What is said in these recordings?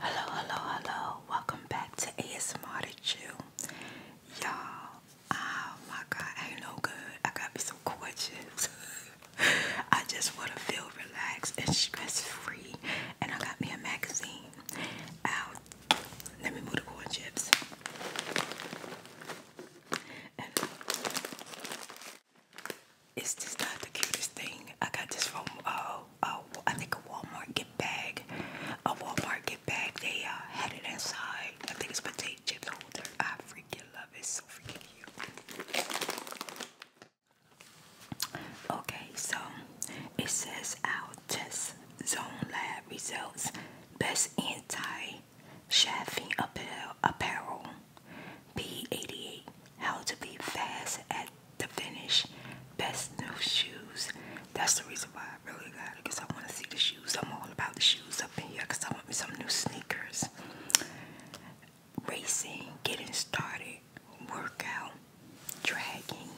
Hello, hello, hello. Welcome back to ASMR to Chill. Y'all, oh my god, ain't no good. I gotta be so gorgeous. I just want to feel relaxed and stress free. And I got me a magazine out. Let me move the corn chips. And it's not the cutest thing. I got this from uh, a, a I think a Walmart gift bag, a Walmart gift bag. They uh, had it inside. I think it's potato chips holder. Oh, I freaking love it. So freaking cute. Okay, so it says our test zone lab results. Best anti-chafing apparel. P88. How to be fast at the finish. Best new shoes. That's the reason why I really got it because I want to see the shoes. I'm all about the shoes up in here because I want me some new sneakers. Racing, getting started, workout, dragging.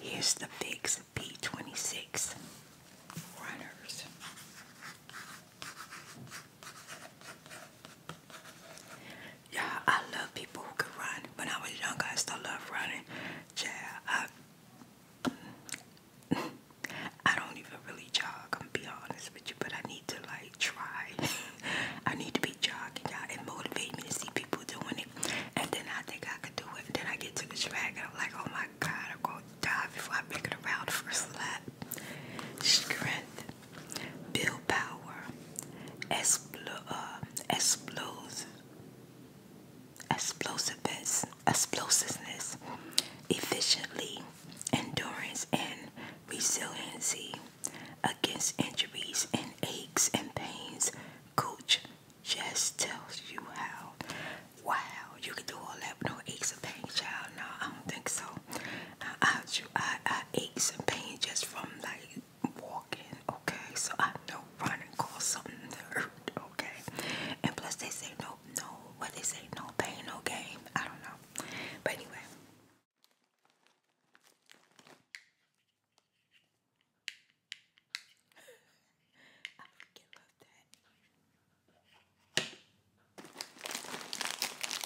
Here's the fix P26 runners. Yeah, I love people who can run. When I was younger, I still love running. Yeah, I, I don't even really jog. I'm be honest with you, but I need to like try. I need to be jogging, y'all. It motivates me to see people doing it, and then I think I could do it. And Then I get to the track, and I'm like, oh my god, I'm gonna die before I make it around the first lap. Strength build power, explo uh, explosiveness, explosiveness, efficiently, endurance and resiliency against injuries and aches and pains. Coach just tells you how. Wow, you can do all that with no aches and pains, child. No, I don't think so. I, I, I aches and pains just from like walking, okay? So I know running call something there, okay? And plus they say no, no, what they say, no pain, no gain. I don't know. But anyway.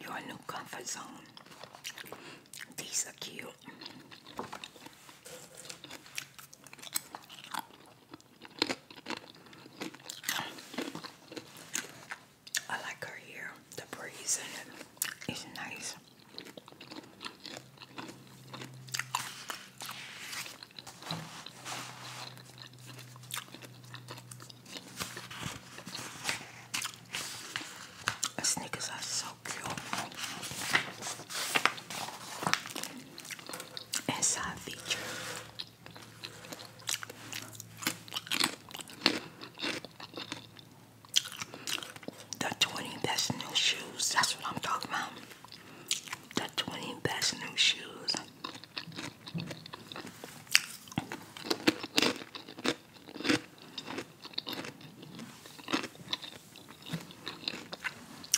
Your new comfort zone. These are cute. I like her here. The breeze in it is nice. Snickers are so cute. And side feature. The 20 best new shoes. That's what I'm talking about. The 20 best new shoes.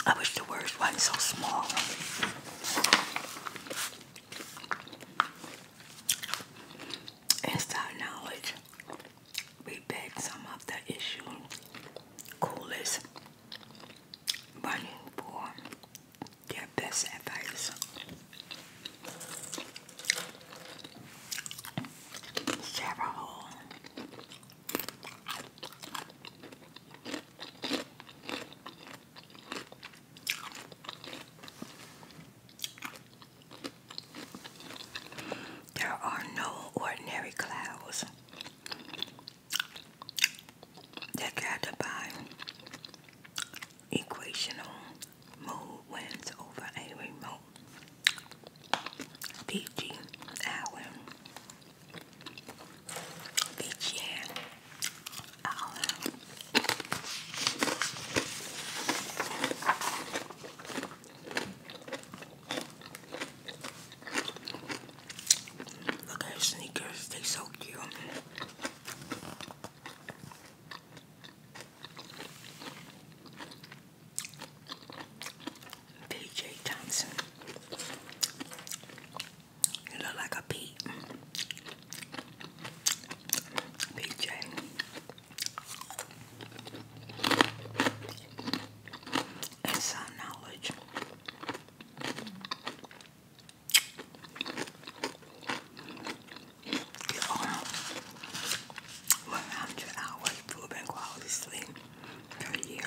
I wish the words weren't so small. Inside knowledge, we beg some of the issue coolest running for their best advice. Several. There are no ordinary clouds. They're gathered by equational mode wins over a remote. D.G. Allen, D.G. Allen. Look at her sneakers, they so cute. B.J. Thompson. You look like a pea. B.J. And knowledge. You're on 100 hours quality sleep per year.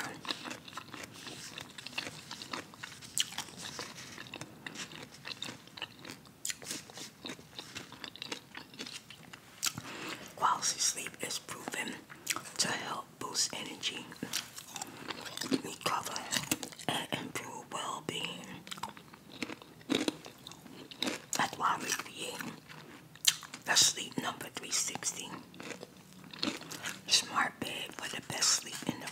Quality sleep is proven to help boost energy, recover, and improve well being. That's why I'm recreating. That's sleep number 360. Smart bed for the best sleep in the world.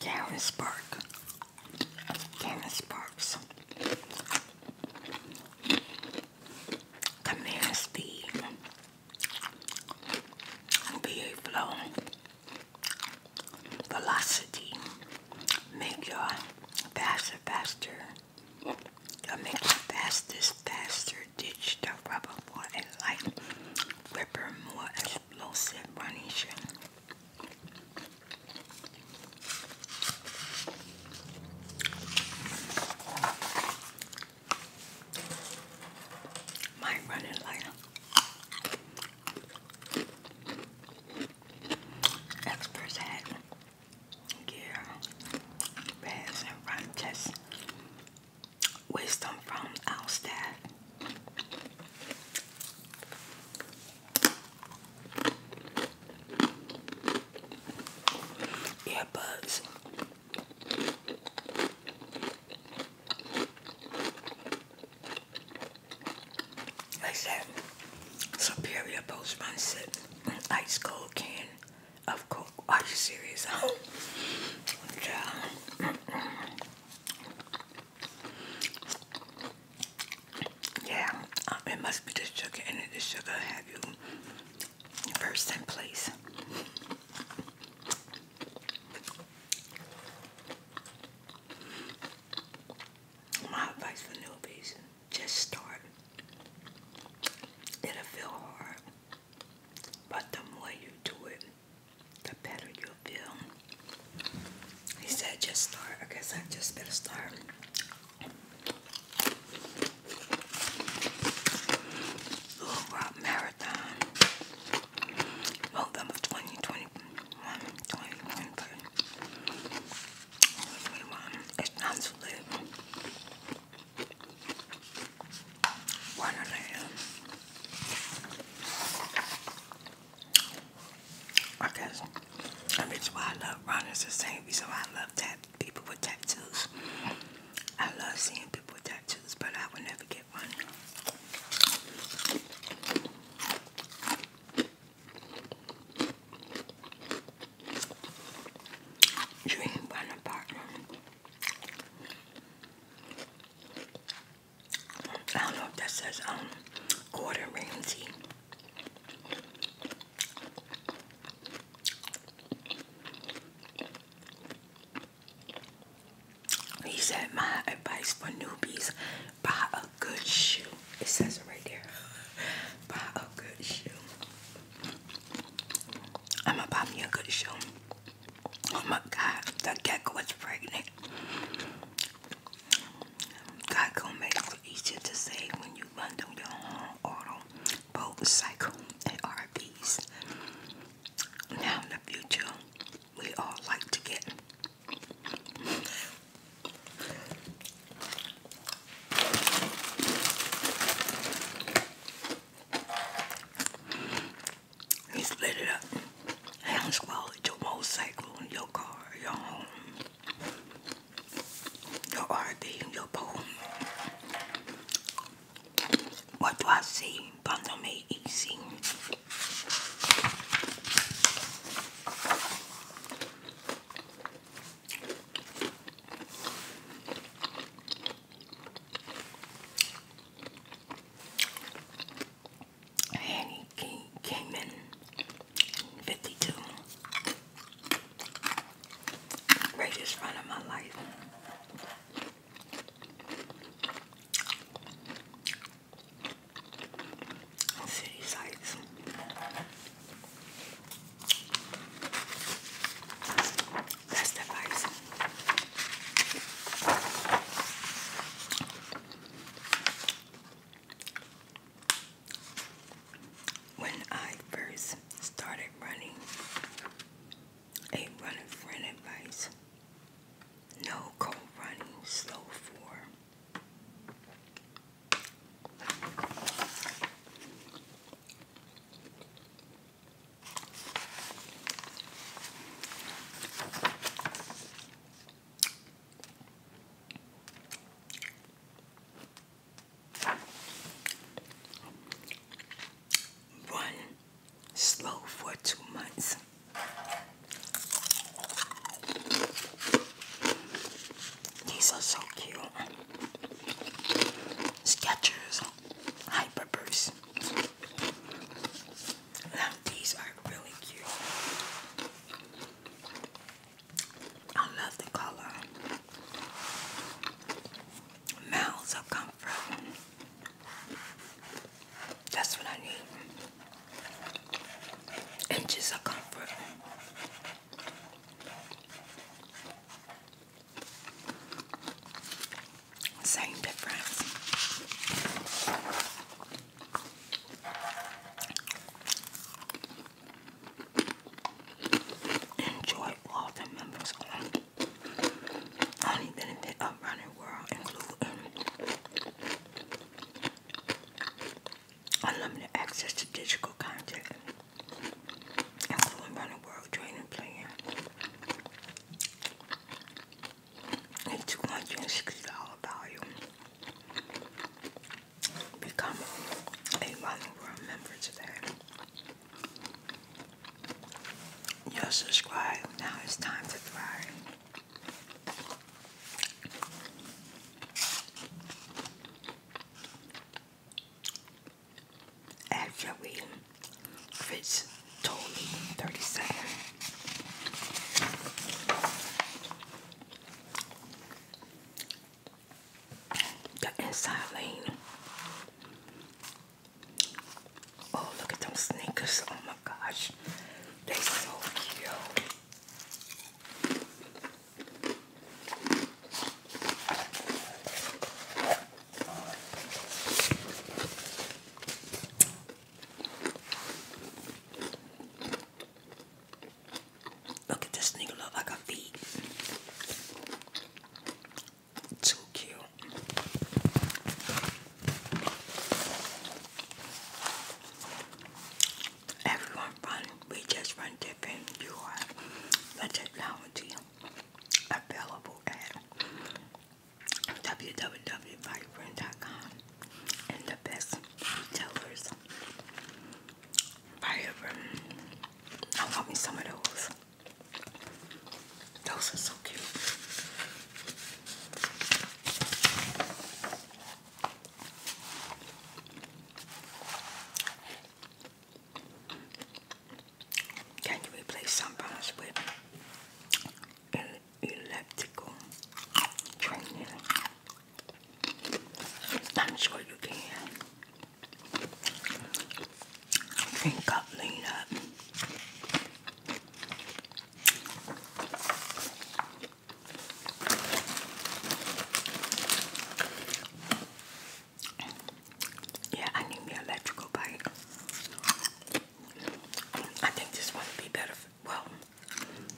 Canvas Park. Canvas Parks. Command speed. BA flow. Velocity. Make your faster, faster. make the fastest, faster ditch the rubber for a light ripper more lotion, varnish. My running light experts had gear, bags, and run tests wisdom from our staff. Earbuds. Like that superior postman said, an ice cold can of Coke. Are you serious? yeah. Yeah, um, it must be the sugar And it. The sugar have you first in place. My advice for newbies, just start. It'll feel hard, but the more you do it, the better you'll feel. He said, just start. I guess I just better start. Little Rock Marathon, November 2021, It's not too late one and a half. I guess. I mean, why I love running. It's the same reason I love tat people with tattoos. I love seeing people with tattoos, but I would never get one. You ain't want I don't know if that says um Gordon Ramsay. He said, My advice for newbies buy a good shoe. It says right there. Buy a good shoe. I'm gonna buy me a good shoe. Oh my God, the gecko was pregnant. God gonna make it easier to say when you run through your own auto, boat, cycle, and RVs. Now in the future, we all like to get he split it up. Hound swallowed your motorcycle, your car, your home, your RV, your poem. What do I see? Bundle me easy. Annie came in 52. Greatest run of my life. City sights. That's the advice. When I first started running, a running friend advice. No cold running, slow four. One slow for two months. These are so cute. Skechers, hyper burst these are really cute. I love the color. Mounds of comfort. That's what I need. Inches of comfort. Same difference. Enjoy all the members only. Only of running world including unlimited access to digital content, including running world training plan a $260 value. Become a Running member today. You're Now it's time to thrive. Actually, Fritz told me 30 seconds. The inside lane. Oh, look at them sneakers. Oh my gosh. They so cute. Look at this nigga look like a feet. Too cute. Everyone run. We just run different. You are the technology available at www.firebrand.com and the best retailers. Firebrand. I got me some of those. Those are so cute. Can you replace sunburns with uh, elliptical training? I'm sure you can. Drink up, lean yeah, I need me electrical bike. I think this one would be better. For, well,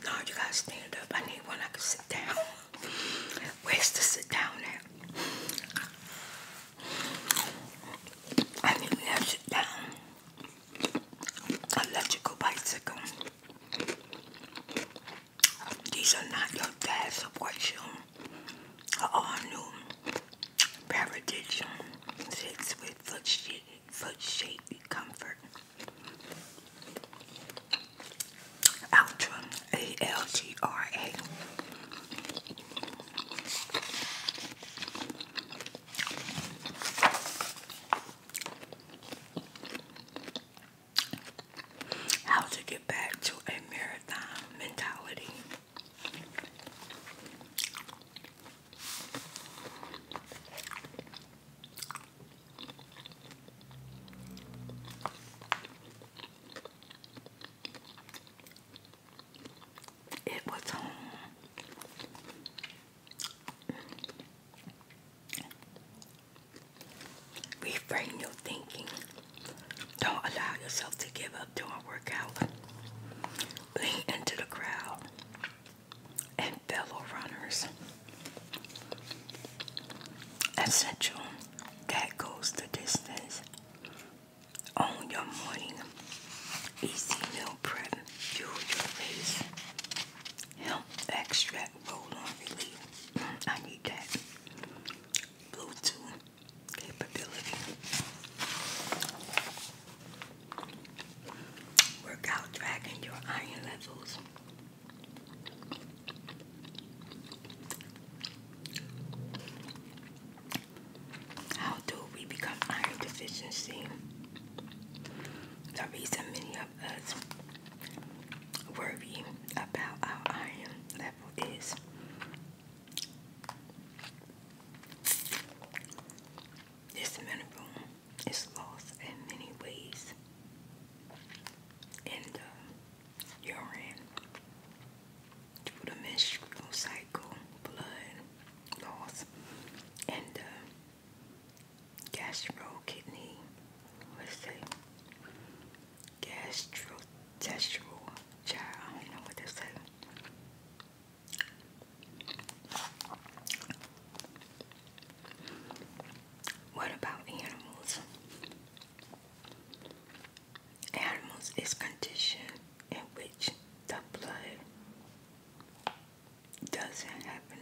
no, you guys stand up. I need one I can sit down. Where's to sit down at? I need to sit down. Electrical bicycle. These are not your dad's or you her all new Paradise sits with foot shape, foot shape comfort. Ultra A L T R A. How to get back to a marathon mentality. It was home. Um, reframe your thinking. Don't allow yourself to give up doing workout. Lean into the crowd and fellow runners. Essential. That goes the distance. On your morning, easy meal prep, fuel your face. Hemp extract roll on relief. Mm, I need that. Bluetooth capability. tracking your iron levels. How do we become iron deficiency? The reason many of us worry about our iron level is this mineral is lost in many ways uh, in the urine through the menstrual cycle, blood loss, and uh, the gastro kidney. let gastro Textual child. I don't know what to say. What about animals? Animals is condition in which the blood doesn't happen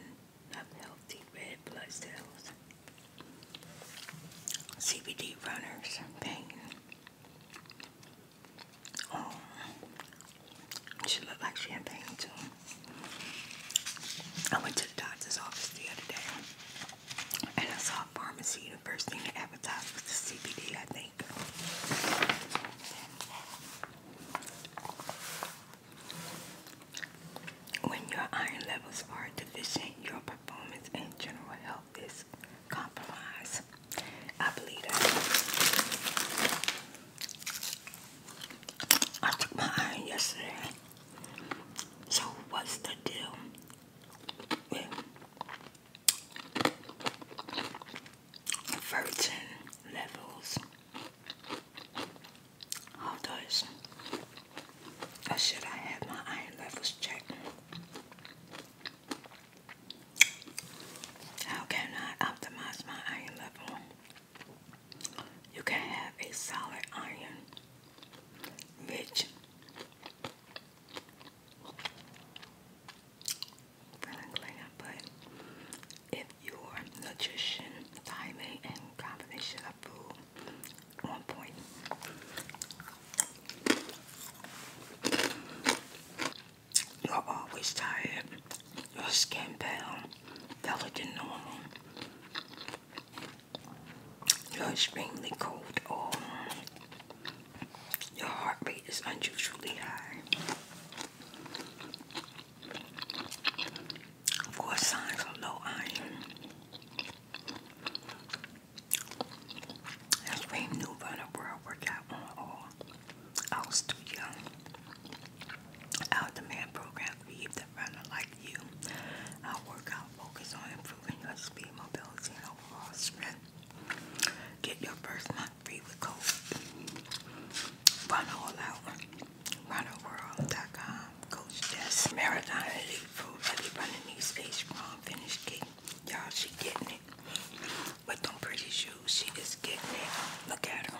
healthy red blood cells. CBD runners, pain, Oh, she looked like she in pain too. I went to the doctor's office the other day, and I saw a pharmacy. The first thing advertised was the CBD, I think. When your iron levels are deficient, your performance and general health this compromise, I believe that. I took my iron yesterday. So what's the deal with virgin levels? How does or should I have my iron levels checked? How can I optimize my iron level? You can have a solid iron, rich, but if your nutrition, timing, and combination of food on point, you're always tired. Your skin pale, duller than normal. You're extremely cold oh. your heart rate is unusually high. Four signs of low iron. That's why I knew about a world workout on all. I was too young. Our demand program believed that runner like you, our workout focus on improving your speed, mobility, and overall strength. Get your first month free with code. Run all out. RunnerWorld.com. Coach Jess. Marathon Elite Food. Everybody needs a strong finish kick. Y'all, she getting it. With them pretty shoes, she is getting it. Look at her.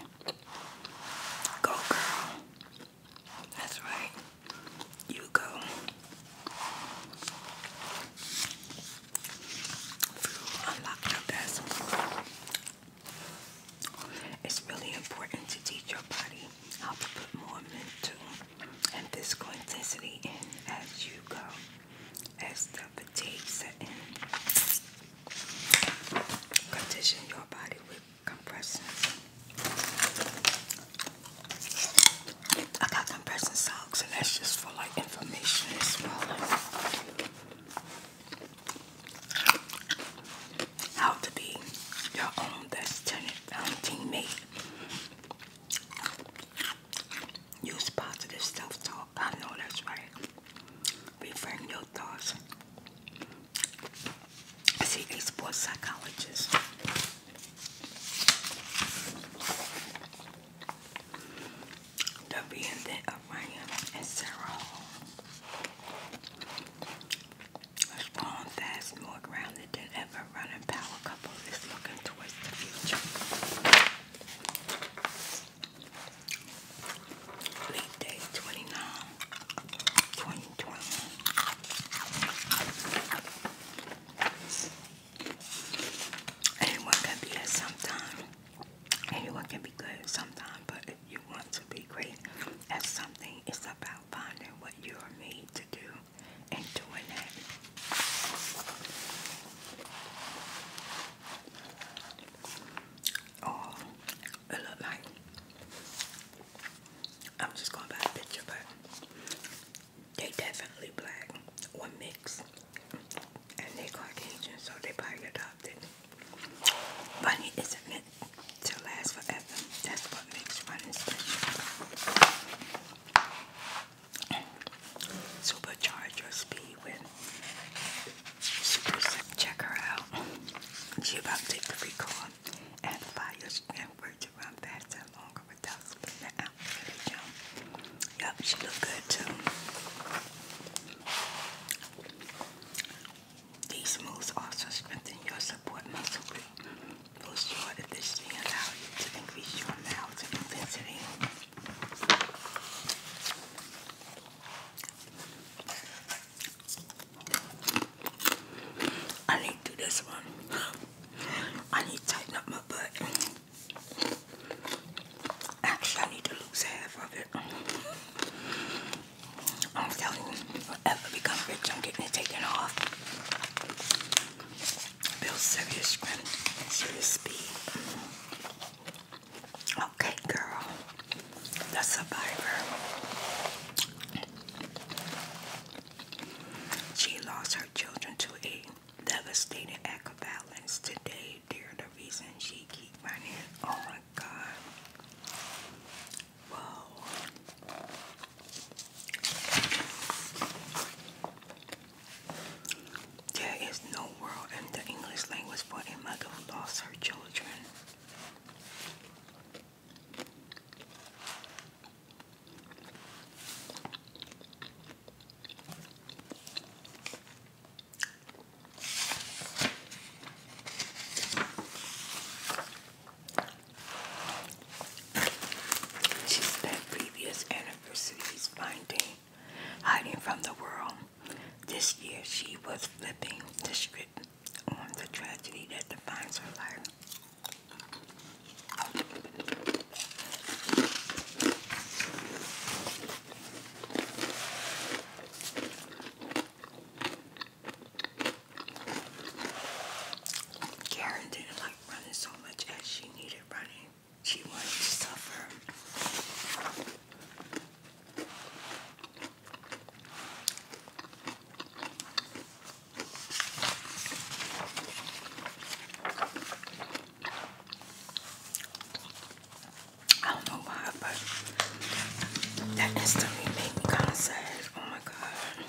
Go, girl. That's right. You go. Unlock your best. It's really important to teach your body how to put more mint to and physical intensity in as you go, as the fatigue sets in. Condition your body with compressions. I got compression socks, and that's just for like information as well. How to be your own best tenant, um, teammate. Use positive self talk. I know that's right. Reframe your thoughts. See, a sports psychologist. The reinvent of Ryan and Sarah Hall. Strong, fast, more grounded abundant than ever. Running power couple is looking towards the future. Leap day 29, Anyone can be at some Anyone can be good at some but if you want to be great at something, it's about finding what you are made to do and doing Oh, it looked like I'm just going by a picture, but they definitely black or mixed, and they Caucasian, so they probably adopted. Money isn't meant to last forever. That's what makes running special. Supercharge your speed with Super Sip. Check her out. She about to take the recall and fire and work to run faster longer without spinning out. Yep, she look good too. These moves also strengthen your support muscle with for sure that to increase your amount I need to do this one. I need to tighten up my butt. Actually, I need to lose half of it. I'm telling you, if I become rich, I'm getting it taken off. Build serious strength serious speed. Okay, girl. The survivor. She lost her children to a devastating act of violence today. They're the reason she keep running. Oh my God. Whoa. There is no word in the English language for a mother who lost her children. She spent previous anniversaries finding, hiding from the world. This year she was flipping the script on the tragedy that defines her life. Karen running so much as she needed running. She wanted to suffer. I don't know why, but that instantly made me kind of sad. Oh my god.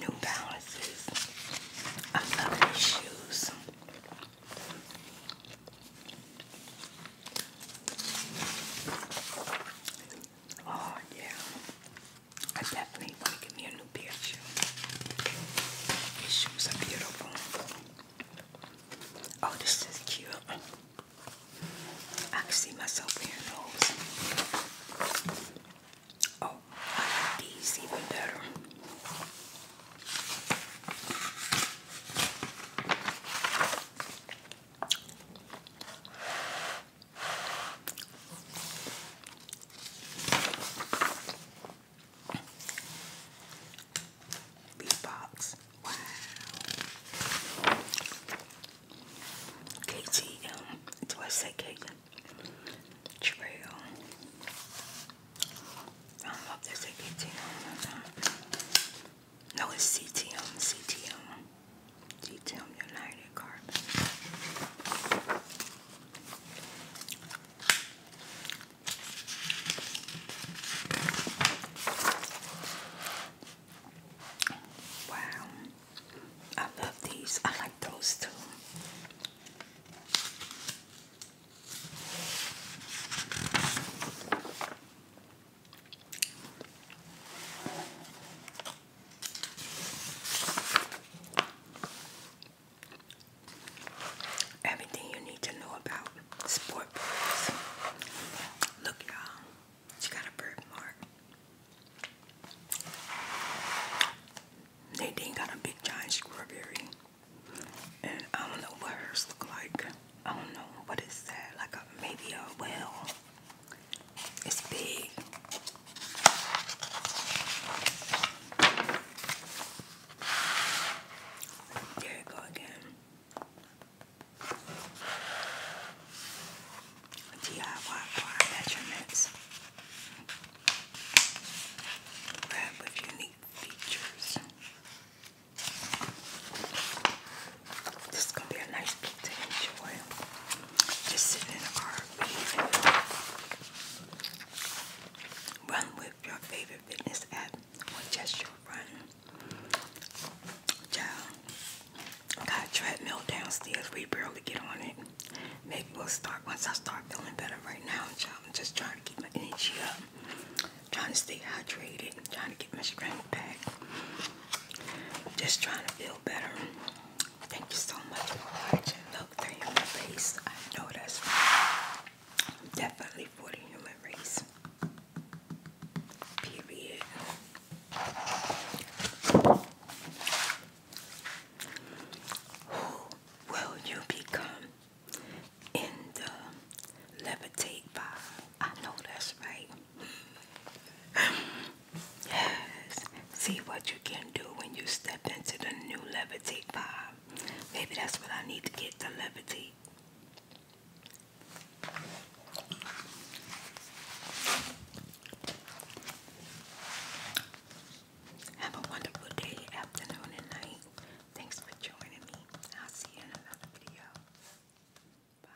New Balances. I love these shoes. Oh yeah. I definitely want to give me a new pair of shoes. These shoes are beautiful. Oh, this is cute. I can see myself wearing those. Oh, I like these even better. Beatbox. Wow. KTM. Do I say KTM? Trail. I don't KTM No, it's CTM. United Carbon. Wow. I love these. I like those too. Everything you need to know about sport Look, y'all, she got a birthmark. Nadine got a big giant strawberry, and I don't know what hers look like. I don't know what is that. Like a maybe a whale. It's big. There you go again. DIY measurements. Wrap unique features. This is gonna be a nice book just sit in the car and run with your favorite fitness app or just your run. Child, got a treadmill downstairs. We barely get on it. Maybe we'll start once I start feeling better right now, child. I'm just trying to keep my energy up. Trying to stay hydrated, trying to get my strength back. Just trying to feel better. Thank you so much for watching human race. I know that's definitely for the human race. Period. Who will you become in the levitate vibe? I know that's right. Yes. See what you can do when you step into the new levitate vibe. Maybe that's what I need to get the levity. Have a wonderful day, afternoon, and night. Thanks for joining me. I'll see you in another video. Bye.